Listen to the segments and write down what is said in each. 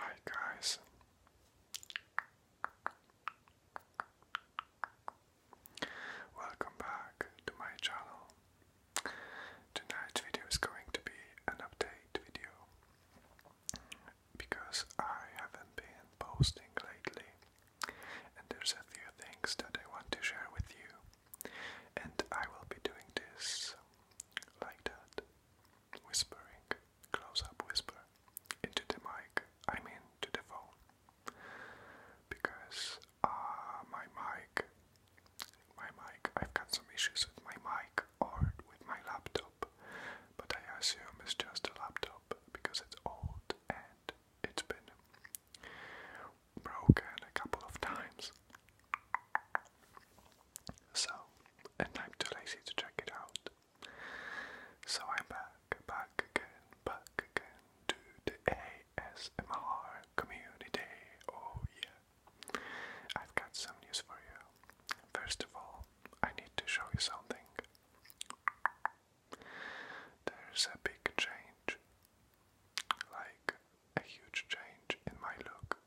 Hi guys. Welcome back to my channel. Tonight's video is going to be an update video because I haven't been posting lately and there's a few things that I want to share with you and I will be doing this like that. Whispering, close up whisper, into the mic, I mean to the phone. Because uh, my mic, my mic, I've got some issues with my mic or with my laptop, but I assume it's just a laptop because it's old and it's been broken a couple of times. So, and I'm too lazy to check it out. So I'm back, back again, back again to the ASMR community. Oh yeah. I've got some news for you. First of all, I need to show you something. There's a big change. Like a huge change in my look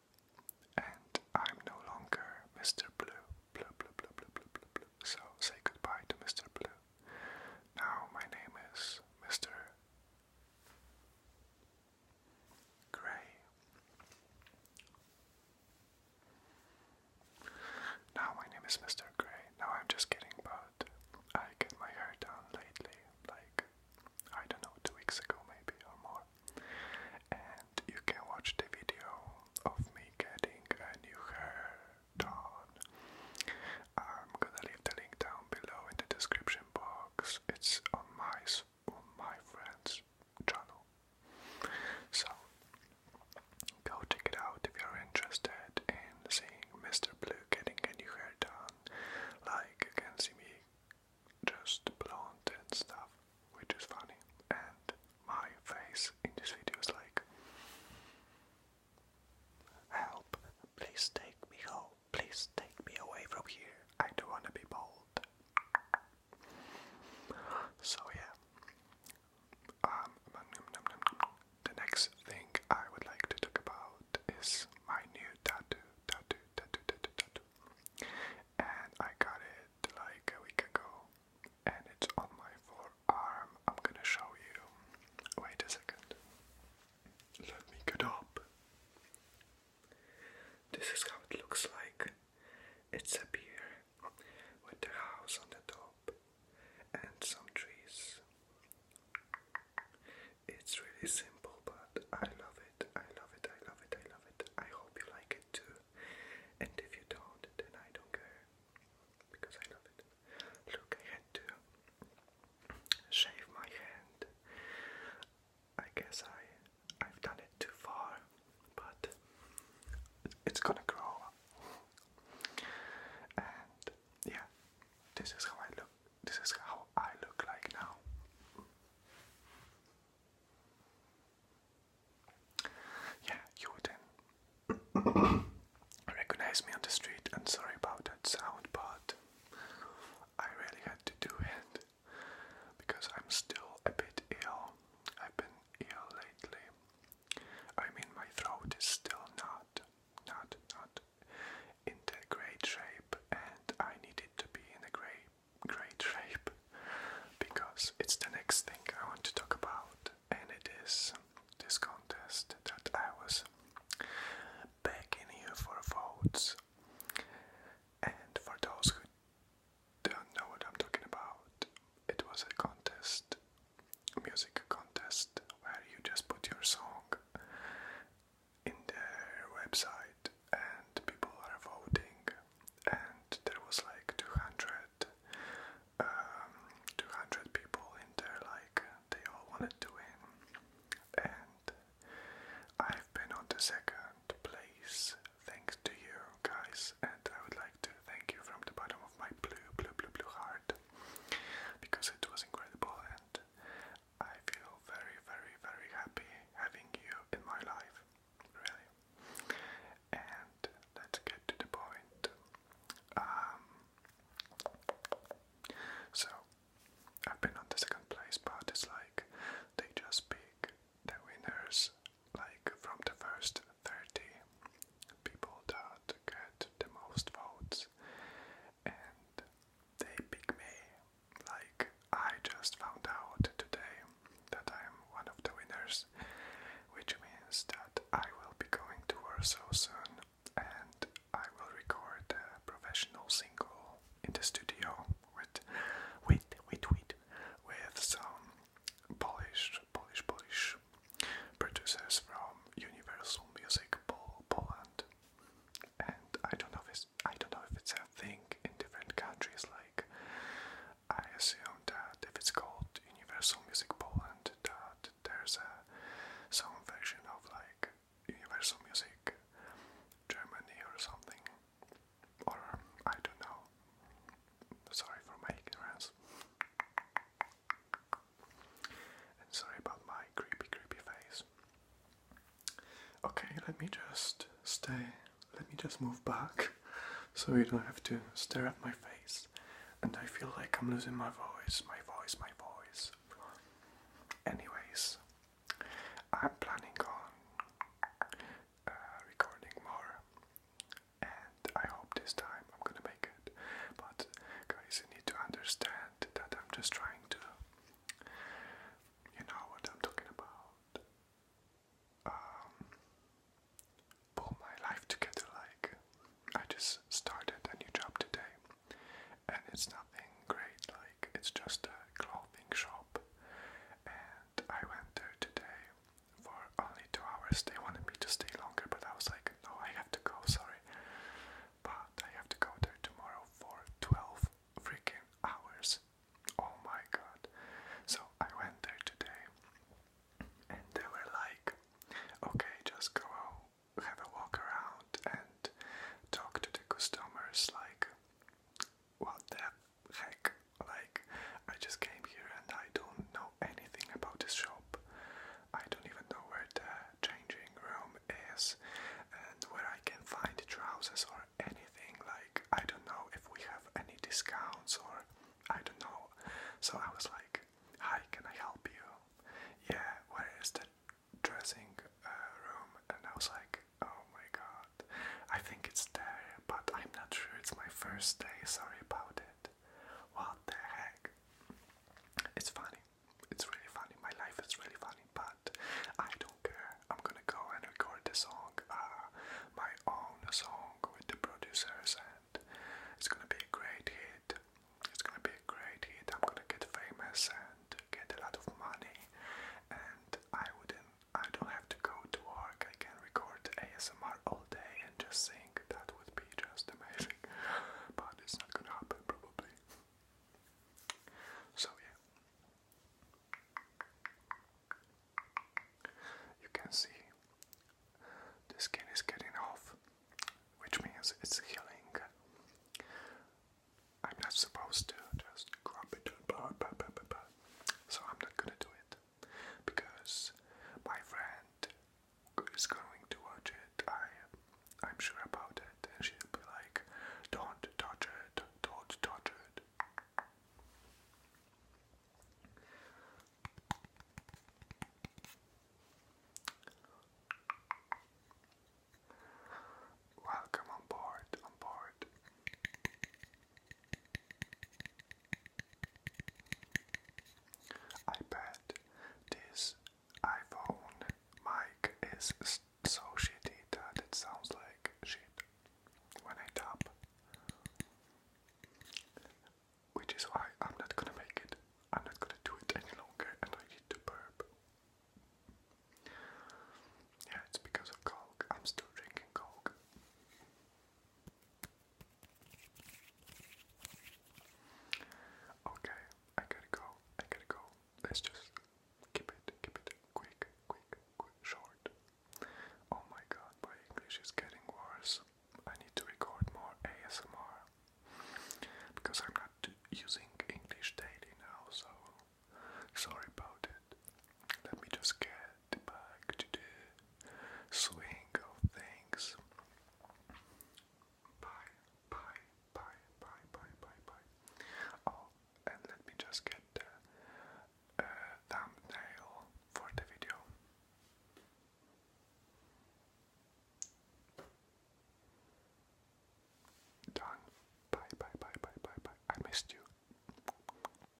and I'm no longer Mr. Blue. Blue, blue, blue, blue, blue, blue, So say goodbye to Mr. Blue. Now my name is Mr. Gray. Now my name is Mr. Gray. Now I'm just kidding, but I get my hair done lately, like I don't know, two weeks ago maybe or more. And you can watch the video of me getting a new hair done. I'm gonna leave the link down below in the description box. It's on my my friend's channel. So go check it out if you're interested in seeing Mr. Blue getting a new hair done. Like can see me just blonde and stuff, which is funny. And my face in this video is like, help, please take me home, please take me away from here, I don't wanna be bald. So yeah, um, the next thing I would like to talk about is my new tattoo, tattoo, tattoo, tattoo, tattoo. And I got it like a week ago, and it's on my forearm. I'm gonna show you. Wait a second. Let me get up. This is how it looks like. It's a pier with a house on the top and some trees it's really simple, but I love it. I love it. I love it. I love it. I hope you like it too. And if you don't, then I don't care because I love it. Look, I had to shave my hand. I guess I I've done it too far, but it's gonna grow. And yeah, this is how I look. This is how I look like now. Yeah, you wouldn't recognize me on the street, and sorry about that sound, but I really had to do it because I'm still a bit ill. I've been ill lately. I mean, my throat is still not, not, not in great shape and I need to be in a great, great shape because it's the next thing I want to talk about and it is this contest that I was back in here for votes and for those who don't know what I'm talking about it was a contest music contest where you just put your song in their website, and people are voting, and there was like 200, um, people in there, like they all wanted to win, and I've been on the second place thanks to you guys, and I would like to thank you from the bottom of my blue, blue, blue, blue heart because it was incredible I feel very, very, very happy having you in my life, really. And let's get to the point. Um, so, I've been on the second place, but it's like they just pick the winners, like from the first 30 people that get the most votes and they pick me. Like, I just found out today that I'm one of the winners, which means that I will be going to Warsaw soon and I will record a professional single in the studio with, with, with, with, with some Polish, Polish, Polish producers from Universal Music Poland, and I don't know if it's, I don't know if it's a thing in different countries. Like I assume that if it's called Universal Music Poland, that there's a some version of like Universal Music Germany or something, or I don't know. Sorry for my ignorance sorry about my creepy, creepy face. Okay, let me just stay. Let me just move back so you don't have to stare at my face. And I feel like I'm losing my voice, my voice, my voice. Anyways, I'm planning on uh, recording more and I hope this time I'm gonna make it. But guys, you need to understand that I'm just trying to, you know what I'm talking about, um, pull my life together. Like, I just started a new job today, and it's nothing great, like, it's just a clothing shop. And I went there today for only two hours. They wanted me to stay longer, but I was like, no, I have to go, sorry. But I have to go there tomorrow for 12 freaking hours. Oh my god. So I went there today and they were like, okay, just go have a walk around and talk to the customers. Like, what the heck? Like, I just came here and I don't know anything about this shop. I don't even know where the changing room is and where I can find trousers or anything. Like, I don't know if we have any discounts or I don't know. So I was like, Hi, can I help you? Yeah, where is the dressing uh, room? And I was like, Oh my god, I think it's there, but I'm not sure. It's my first day, sorry about it. What the heck? It's funny. It's really funny. My life is really funny, but I don't care. I'm gonna go and record the song, uh, my own song with the producers, and it's gonna be a great hit. It's gonna be a great hit. I'm gonna get famous and get a lot of money, and I wouldn't. I don't have to go to work. I can record ASMR all and just sing. That would be just amazing. but it's not gonna happen, probably. So, yeah. You can see the skin is getting off, which means it's healing. I'm not supposed to just grab it, but, but, but, but, but. so I'm not gonna do it because my friend is going to watch it. I, I'm sure about it, and she'll be like, "Don't touch it! Don't touch it!" Welcome on board, on board. I bet this iPhone mic is so shitty that it sounds like shit when I tap. Which is why I'm not gonna make it. I'm not gonna do it any longer and I need to burp. Yeah, it's because of Coke. I'm still drinking Coke. Okay, I gotta go. I gotta go. Let's just keep it, keep it quick, quick, quick, short. Oh my god, my English is getting worse. I need to record more ASMR because I'm not using English daily now, so sorry about it. Let me just get back to the swing of things. Bye, bye, bye, bye, bye, bye, bye. Oh, and let me just get the uh, thumbnail for the video. Done. Bye, bye, bye, bye, bye, bye. I missed you.